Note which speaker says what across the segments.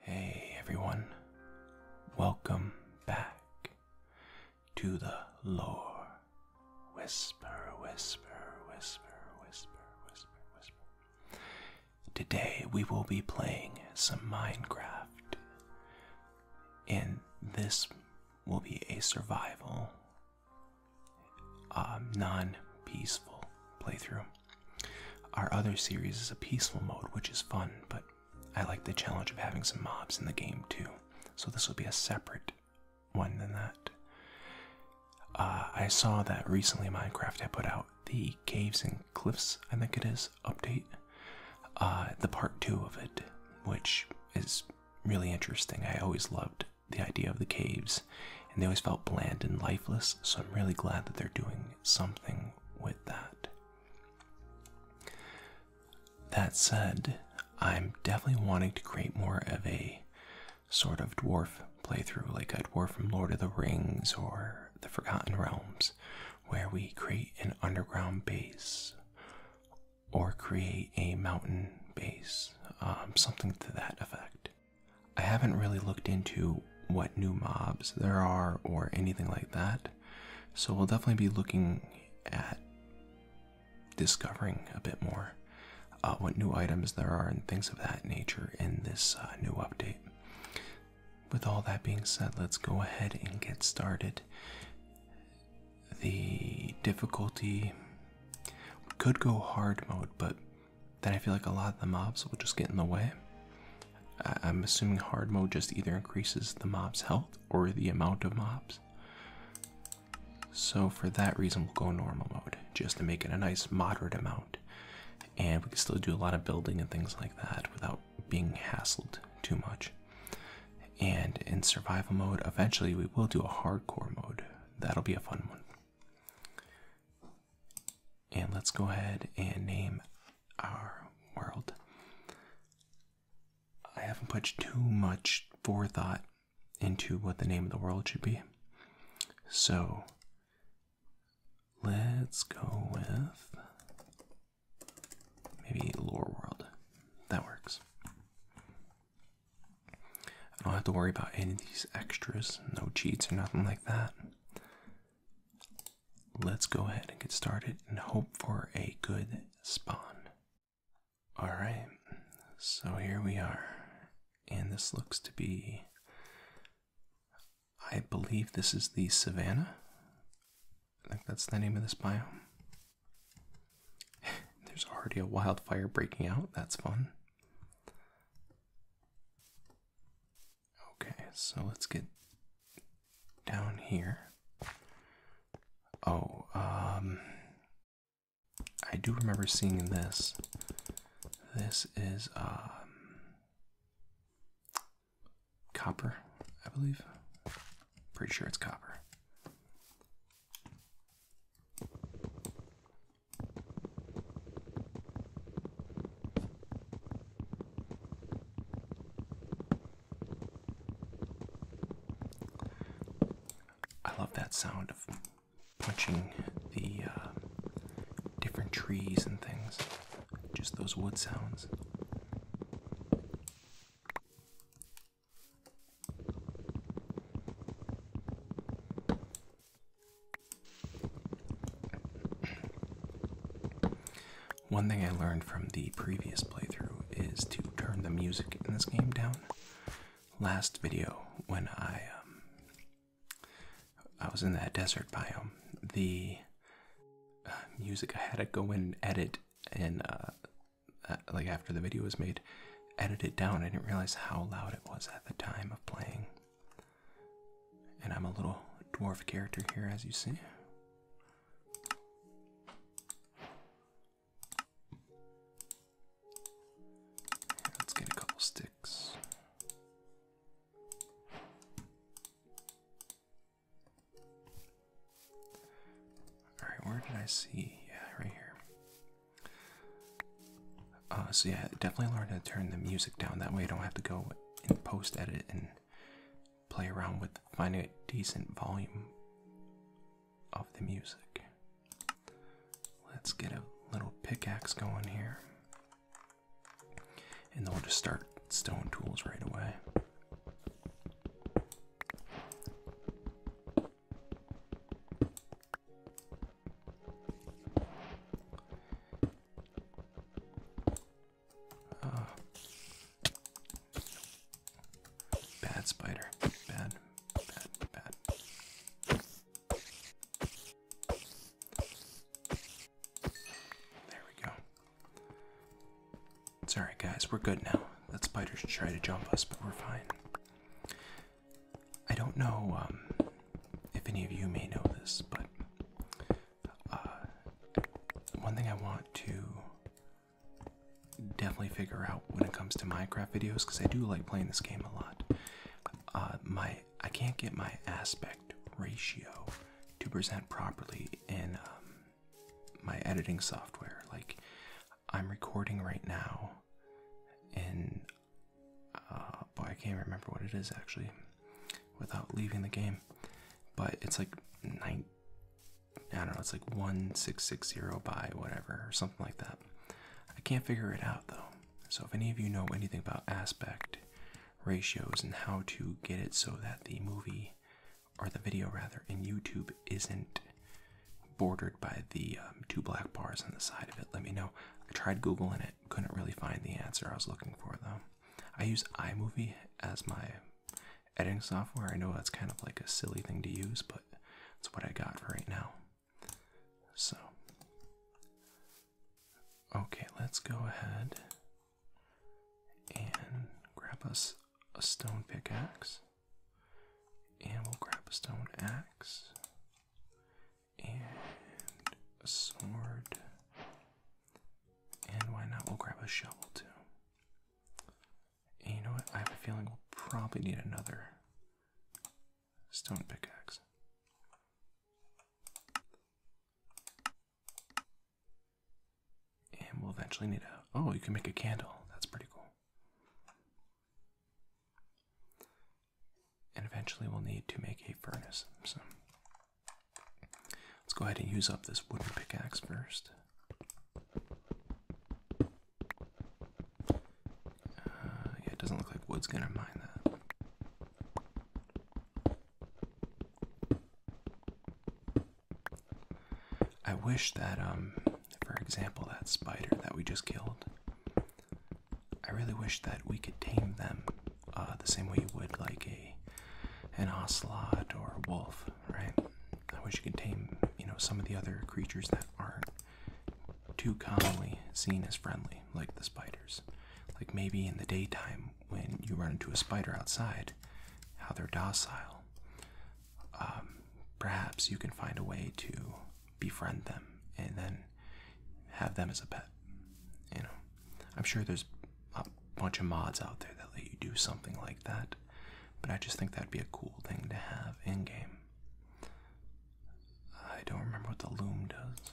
Speaker 1: Hey everyone, welcome back to the lore. Whisper, whisper, whisper, whisper, whisper, whisper. Today we will be playing some Minecraft, and this will be a survival, um, non peaceful playthrough. Our other series is a peaceful mode, which is fun, but I like the challenge of having some mobs in the game too, so this will be a separate one than that. Uh, I saw that recently Minecraft had put out the Caves and Cliffs, I think it is, update, uh, the part two of it, which is really interesting. I always loved the idea of the caves, and they always felt bland and lifeless, so I'm really glad that they're doing something with that. That said, I'm definitely wanting to create more of a sort of dwarf playthrough, like a dwarf from Lord of the Rings or the Forgotten Realms, where we create an underground base or create a mountain base, um, something to that effect. I haven't really looked into what new mobs there are or anything like that. So we'll definitely be looking at discovering a bit more uh, what new items there are and things of that nature in this uh, new update. With all that being said, let's go ahead and get started. The difficulty could go hard mode, but then I feel like a lot of the mobs will just get in the way. I'm assuming hard mode just either increases the mob's health or the amount of mobs. So for that reason, we'll go normal mode just to make it a nice moderate amount. And we can still do a lot of building and things like that without being hassled too much. And in survival mode, eventually we will do a hardcore mode. That'll be a fun one. And let's go ahead and name our world. I haven't put too much forethought into what the name of the world should be. So let's go with maybe Lore World. That works. I don't have to worry about any of these extras, no cheats or nothing like that let's go ahead and get started and hope for a good spawn. Alright, so here we are. And this looks to be. I believe this is the savannah. I think that's the name of this biome. There's already a wildfire breaking out. That's fun. Okay, so let's get down here. Oh, um, I do remember seeing this. This is, um, copper, I believe. Pretty sure it's copper. I love that sound of punching the uh, different trees and things, just those wood sounds. One thing I learned from the previous playthrough is to turn the music in this game down. Last video, when I um, I was in that desert biome, the uh, music I had to go in and edit, and uh, uh, like after the video was made, edit it down. I didn't realize how loud it was at the time of playing. And I'm a little dwarf character here, as you see. Let's get a couple sticks. Alright, where did I see? Yeah, right here. Uh, so yeah, definitely learn to turn the music down. That way you don't have to go in post edit and play around with finding a decent volume of the music. Let's get a little pickaxe going here. And then we'll just start stone tools right away. Uh, bad spider. Bad, bad, bad. There we go. It's alright, guys. We're good now. That spider should try to jump us, but we're fine. I don't know um, if any of you may know this, but uh, one thing I want to definitely figure out when it comes to Minecraft videos, because I do like playing this game a lot. Uh, my I can't get my aspect ratio to present properly in um, my editing software. Like I'm recording right now, and uh, boy, I can't remember what it is actually without leaving the game. But it's like nine, I don't know, it's like 1660 by whatever, or something like that. I can't figure it out though. So if any of you know anything about aspect ratios and how to get it so that the movie or the video rather in YouTube isn't bordered by the um, two black bars on the side of it, let me know. I tried googling it, couldn't really find the answer I was looking for though. I use iMovie as my editing software. I know that's kind of like a silly thing to use, but that's what I got for right now. So, okay, let's go ahead and grab us a stone pickaxe. And we'll grab a stone axe and a sword and why not? We'll grab a shovel too. you know what? I have a feeling we'll probably need another stone pickaxe. And we'll eventually need a. Oh, you can make a candle. That's pretty cool. And eventually we'll need to make a furnace. Let's go ahead and use up this wooden pickaxe first. Uh, yeah, it doesn't look like wood's gonna mine that. I wish that, um, for example, that spider that we just killed, I really wish that we could tame them uh, the same way you would like a an ocelot or a wolf, right? I wish you could tame, you know, some of the other creatures that aren't too commonly seen as friendly, like the spiders. Like maybe in the daytime when you run into a spider outside, how they're docile. Um, perhaps you can find a way to befriend them and then have them as a pet. You know, I'm sure there's a bunch of mods out there that let you do something like that, but I just think that'd be a cool thing to have in game. I don't remember what the loom does.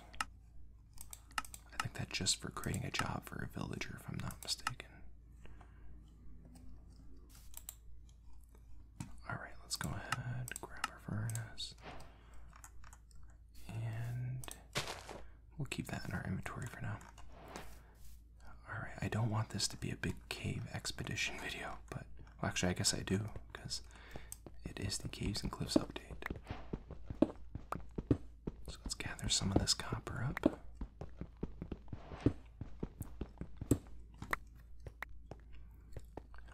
Speaker 1: I think that's just for creating a job for a villager, if I'm not mistaken. Alright, let's go ahead, grab our furnace. And We'll keep that in our inventory for now. Alright, I don't want this to be a big cave expedition video, but actually, I guess I do because it is the Caves and Cliffs update. So let's gather some of this copper up.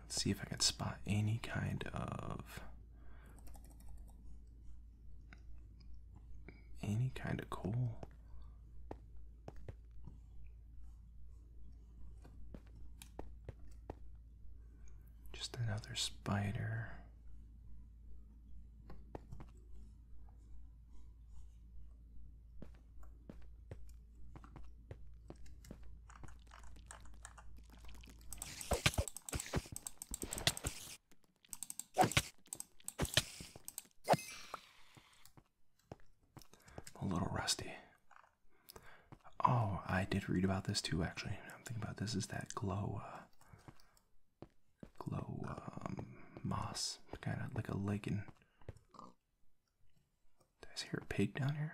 Speaker 1: Let's see if I can spot any kind of any kind of cool. Just another spider a little rusty. Oh, I did read about this too, actually. I'm thinking about this is that glow, uh, glow um, moss, kind of like a lichen. Did I hear a pig down here?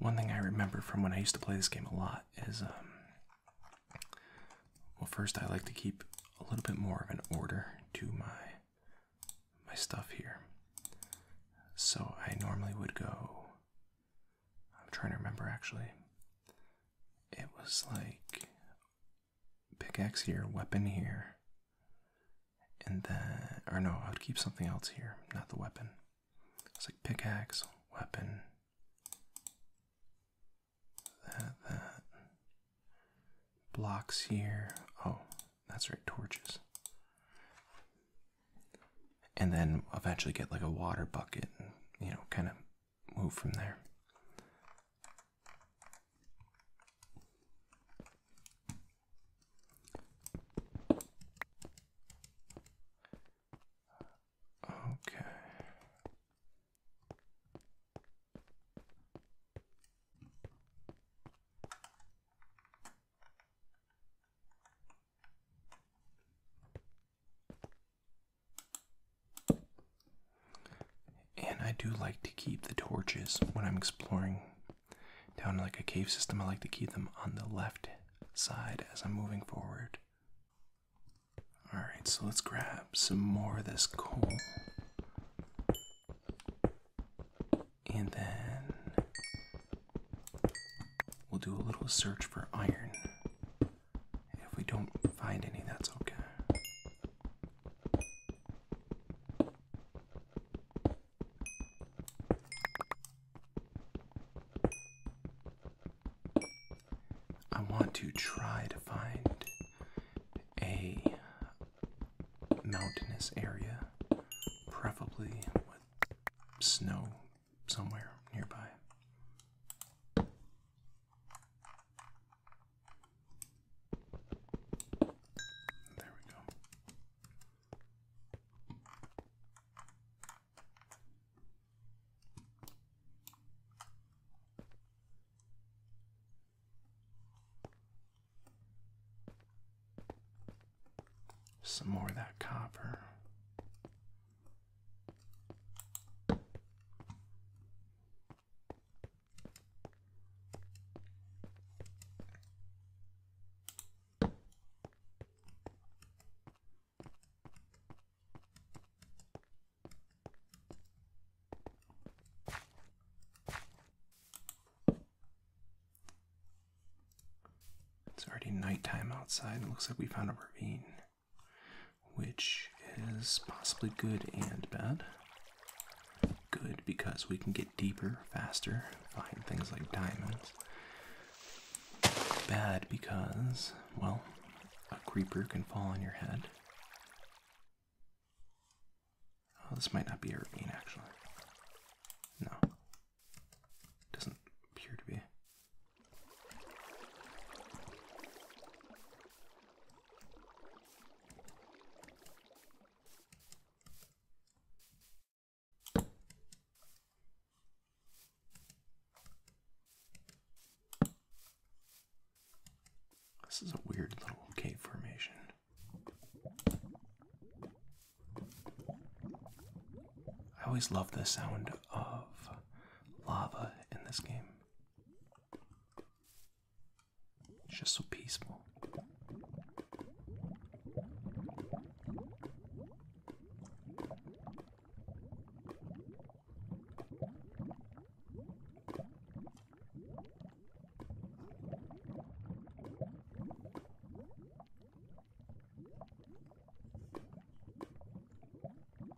Speaker 1: One thing I remember from when I used to play this game a lot is, um, well, first I like to keep a little bit more of an order to my my stuff here. So I normally would go I'm trying to remember actually. It was like pickaxe here, weapon here, and then, or no, I would keep something else here, not the weapon. It's like pickaxe, weapon, that, that, blocks here. Oh, that's right, torches and then eventually get like a water bucket and you know kind of move from there okay and I do like to keep the torches when I'm exploring down like a cave system. I like to keep them on the left side as I'm moving forward. Alright, so let's grab some more of this coal. And then we'll do a little search for iron if we don't find any, that's okay. I want to try to find a mountainous area, preferably with snow somewhere nearby. There we go. Some more of that copper. It's already nighttime outside, it looks like we found a ravine which is possibly good and bad. Good because we can get deeper faster, find things like diamonds. Bad because, well, a creeper can fall on your head. Oh, this might not be a ravine actually. No. Doesn't appear to be. This is a weird little cave formation. I always love the sound of lava in this game. It's just so peaceful.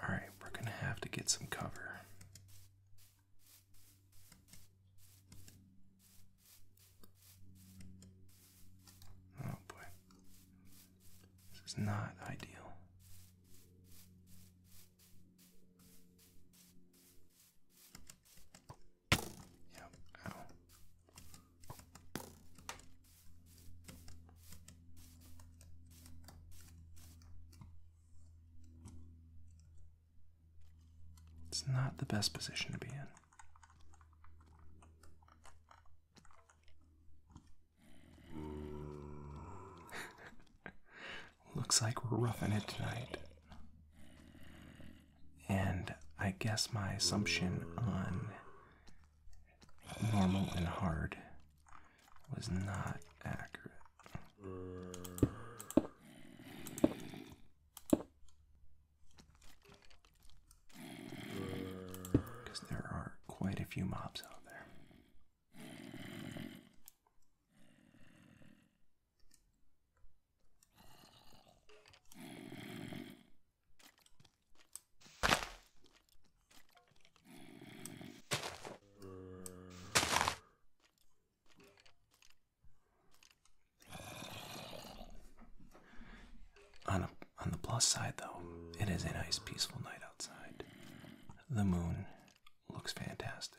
Speaker 1: All right, we're going to have to get some cover. Oh boy. This is not ideal. It's not the best position to be in. Looks like we're roughing it tonight. And I guess my assumption on normal and hard was not accurate. Because there are quite a few mobs out there. On, on the plus side, though, it is a nice, peaceful night outside. The moon looks fantastic.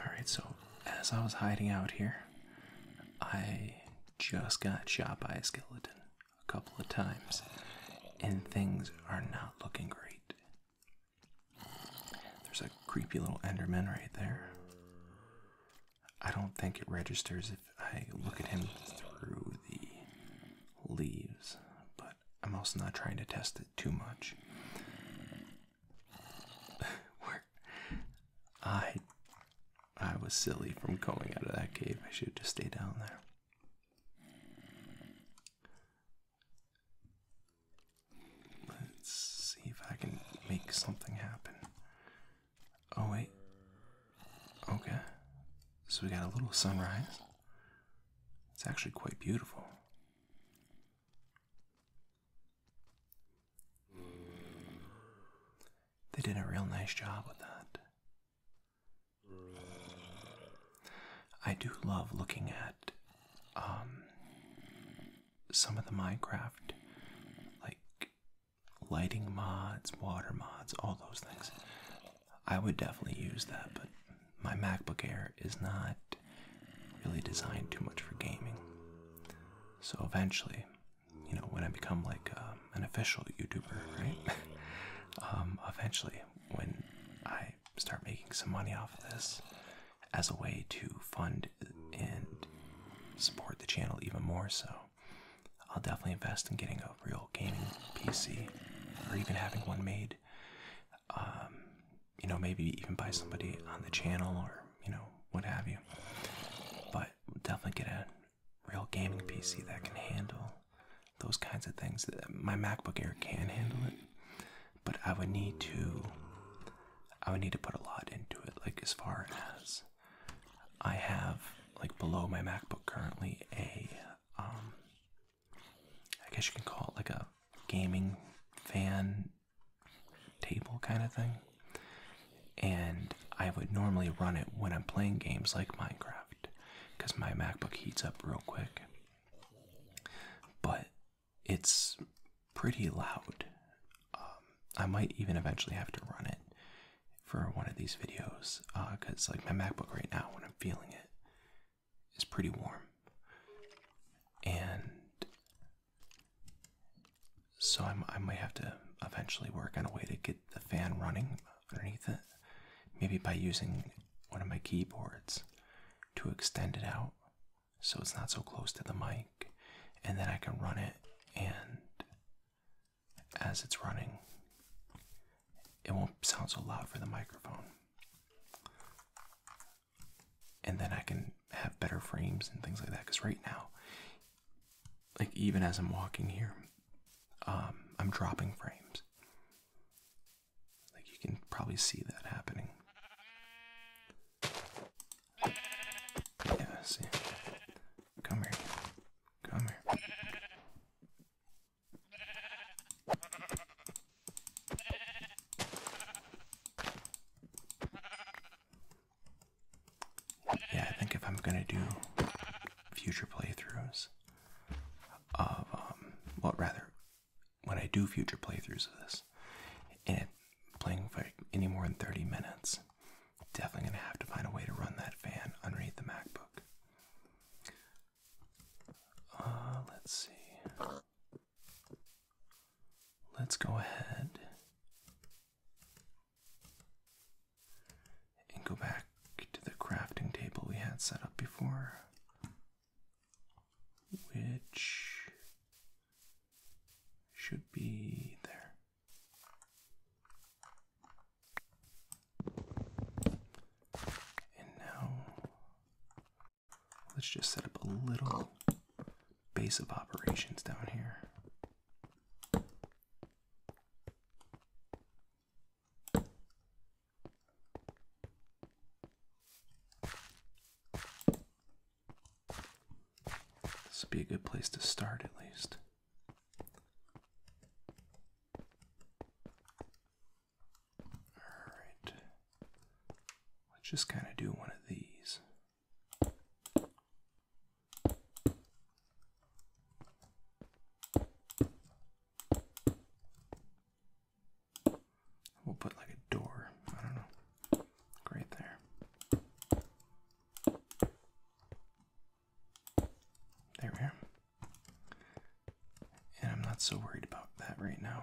Speaker 1: Alright, so as I was hiding out here, I just got shot by a skeleton a couple of times, and things are not looking great. There's a creepy little Enderman right there. I don't think it registers if I look at him through the leaves, but I'm also not trying to test it too much. I I was silly from coming out of that cave. I should just stay down there. Let's see if I can make something happen. Oh, wait. Okay. So we got a little sunrise. It's actually quite beautiful. They did a real nice job with that. I do love looking at um, some of the Minecraft like lighting mods, water mods, all those things. I would definitely use that, but my MacBook Air is not really designed too much for gaming. So eventually, you know, when I become like uh, an official YouTuber, right? Um, eventually, when I start making some money off of this as a way to fund and support the channel even more so, I'll definitely invest in getting a real gaming PC or even having one made. Um, you know, maybe even buy somebody on the channel or, you know, what have you. But definitely get a real gaming PC that can handle those kinds of things. My MacBook Air can handle it, but I would need to. I would need to put a lot into it, like as far as I have like below my MacBook currently a um I guess you can call it like a gaming fan table kind of thing. And I would normally run it when I'm playing games like Minecraft because my MacBook heats up real quick. But it's pretty loud. Um, I might even eventually have to run it for one of these videos because, uh, like, my MacBook right now, when I'm feeling it, is pretty warm. And so i I might have to eventually work on a way to get the fan running underneath it, maybe by using one of my keyboards to extend it out so it's not so close to the mic and then I can run it and as it's running it won't sound so loud for the microphone. And then I can have better frames and things like that cuz right now like even as I'm walking here um, I'm dropping frames. Like you can probably see that happening. Yeah, I see. Come here. Come here. Yeah, I think if I'm gonna do future playthroughs of, um, well, rather, when I do future playthroughs of this, and playing for any more than 30 minutes, Definitely gonna have to find a way to run that fan underneath the MacBook. Uh, let's see. Let's go ahead and go back to the crafting table we had set up before, which should be there. And now let's just set up a little base of operations down here. This would be a good place to start, at least. Alright. Let's just kind of do one of these. We'll put like a door, I don't know, right there. There we are. And I'm not so worried about that right now.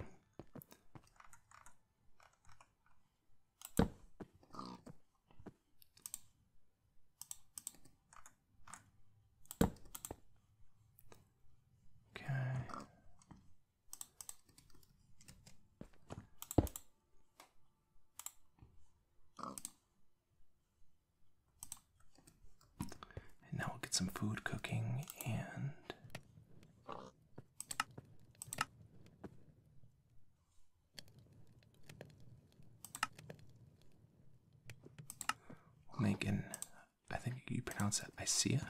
Speaker 1: Okay. And now we'll get some food cooking and. Making, I think you pronounce that Isia,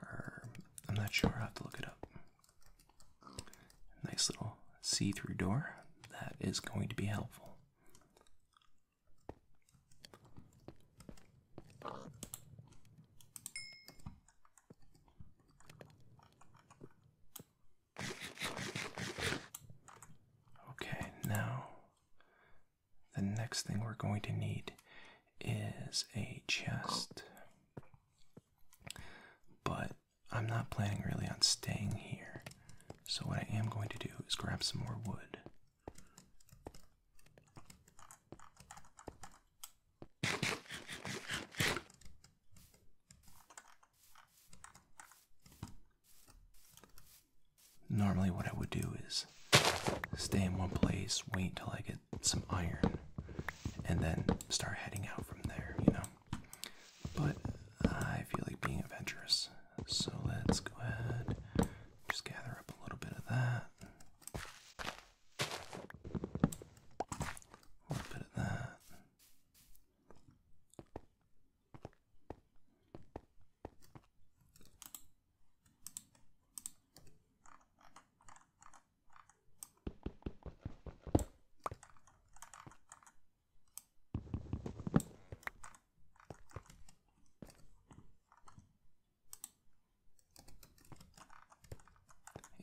Speaker 1: or I'm not sure. I have to look it up. Nice little see through door. That is going to be helpful. Okay, now the next thing we're going to need is a chest. But I'm not planning really on staying here. So, what I am going to do is grab some more wood. Normally, what I would do is stay in one place, wait till I get some iron, and then start heading out from there, you know? But I feel like being adventurous. So let's go ahead just gather up a little bit of that. A little bit of that.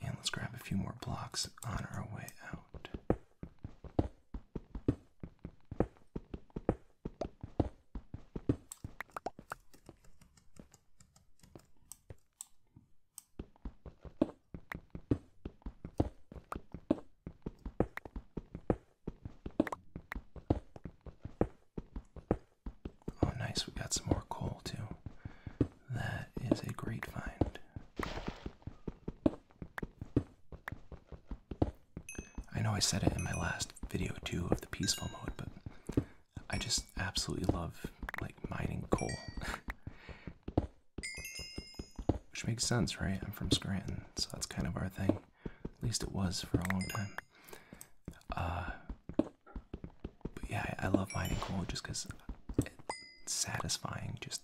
Speaker 1: And let's grab a few more blocks on our way out. Oh, nice, we got some more coal too. That is a great find. I know I said it in my last video too of the peaceful mode, but I just absolutely love like mining coal. Which makes sense, right? I'm from Scranton, so that's kind of our thing. At least it was for a long time. Uh, but yeah, I, love mining coal just because it's satisfying, just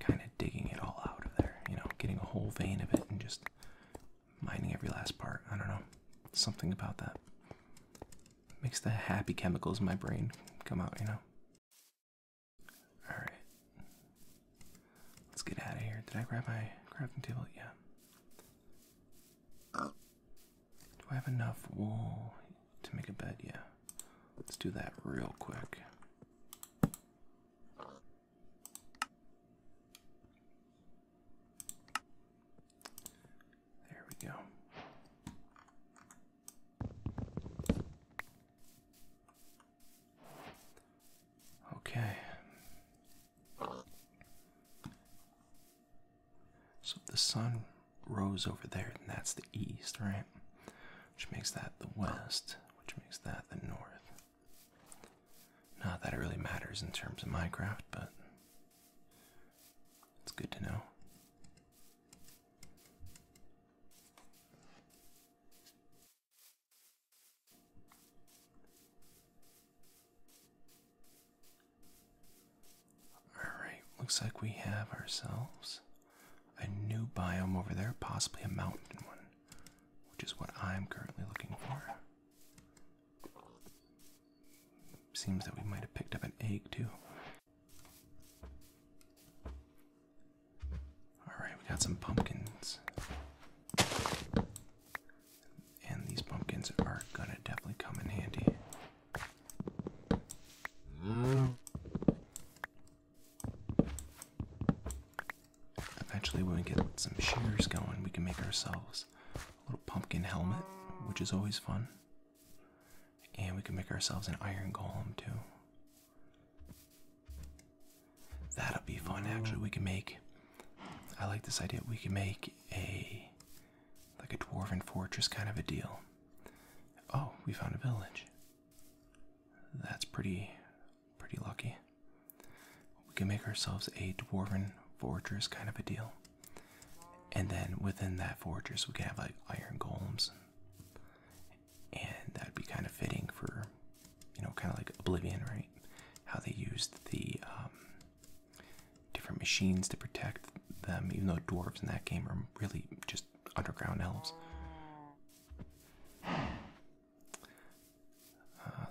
Speaker 1: kind of digging it all out of there, you know, getting a whole vein of it and just mining every last part. I don't know. Something about that makes the happy chemicals in my brain come out, you know? All right, let's get out of here. Did I grab my crafting table? Yeah. Do I have enough wool to make a bed? Yeah. Let's do that real quick. There we go. Okay. So the sun rose over there, and that's the east, right? Which makes that the west, which makes that the north. Not that it really matters in terms of Minecraft, but it's good to know. Alright, looks like we have ourselves a new biome over there, possibly a mountain one, which is what I'm currently looking for. Seems that we might have picked up an egg too. Alright, we got some pumpkins. And these pumpkins are gonna definitely come in handy. Eventually, when we get some shears going, we can make ourselves a little pumpkin helmet, which is always fun. And we can make ourselves an iron golem too. That'll be fun actually. We can make I like this idea. We can make a like a dwarven fortress kind of a deal. Oh, we found a village. That's pretty pretty lucky. We can make ourselves a dwarven fortress kind of a deal. And then within that fortress we can have like iron golems and that'd be kind of fitting for, you know, kind of like Oblivion, right? How they used the um, different machines to protect them, even though dwarves in that game are really just underground elves. Uh,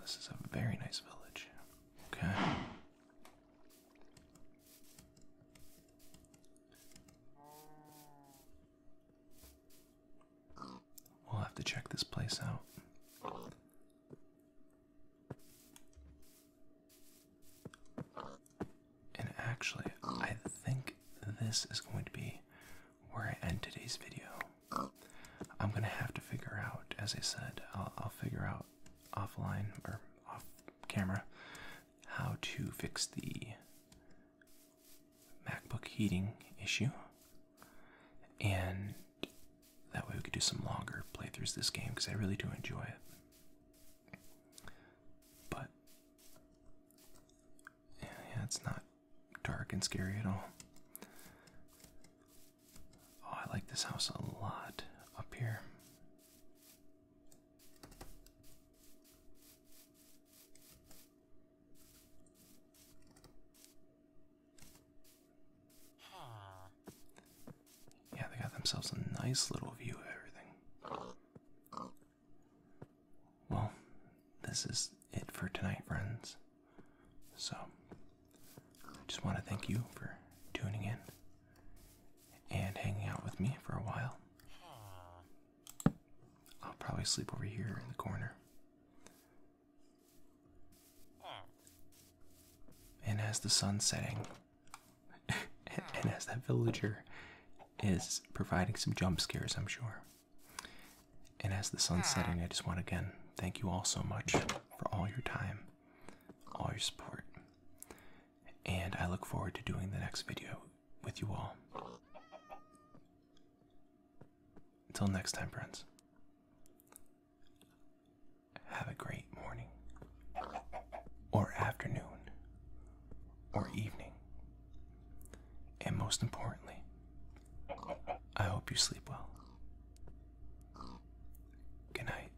Speaker 1: this is a very nice village. Okay. We'll have to check this place out. And actually, I think this is going to be where I end today's video. I'm gonna have to figure out, as I said, I'll, I'll figure out offline or off camera how to fix the MacBook heating issue, and that way we could do some longer playthroughs this game because I really do enjoy it. But yeah, yeah, it's not dark and scary at all. Oh, I like this house a lot up here. Yeah, they got themselves a nice little view of everything. Well, this is it for tonight, friends. So, I just want to thank you for tuning in and hanging out with me for a while. I'll probably sleep over here in the corner. And as the sun's setting, and as that villager is providing some jump scares, I'm sure. And as the sun's setting, I just want to again thank you all so much for all your time, all your support. And I look forward to doing the next video with you all. Until next time, friends, have a great morning, or afternoon, or evening, and most importantly, I hope you sleep well. Good night.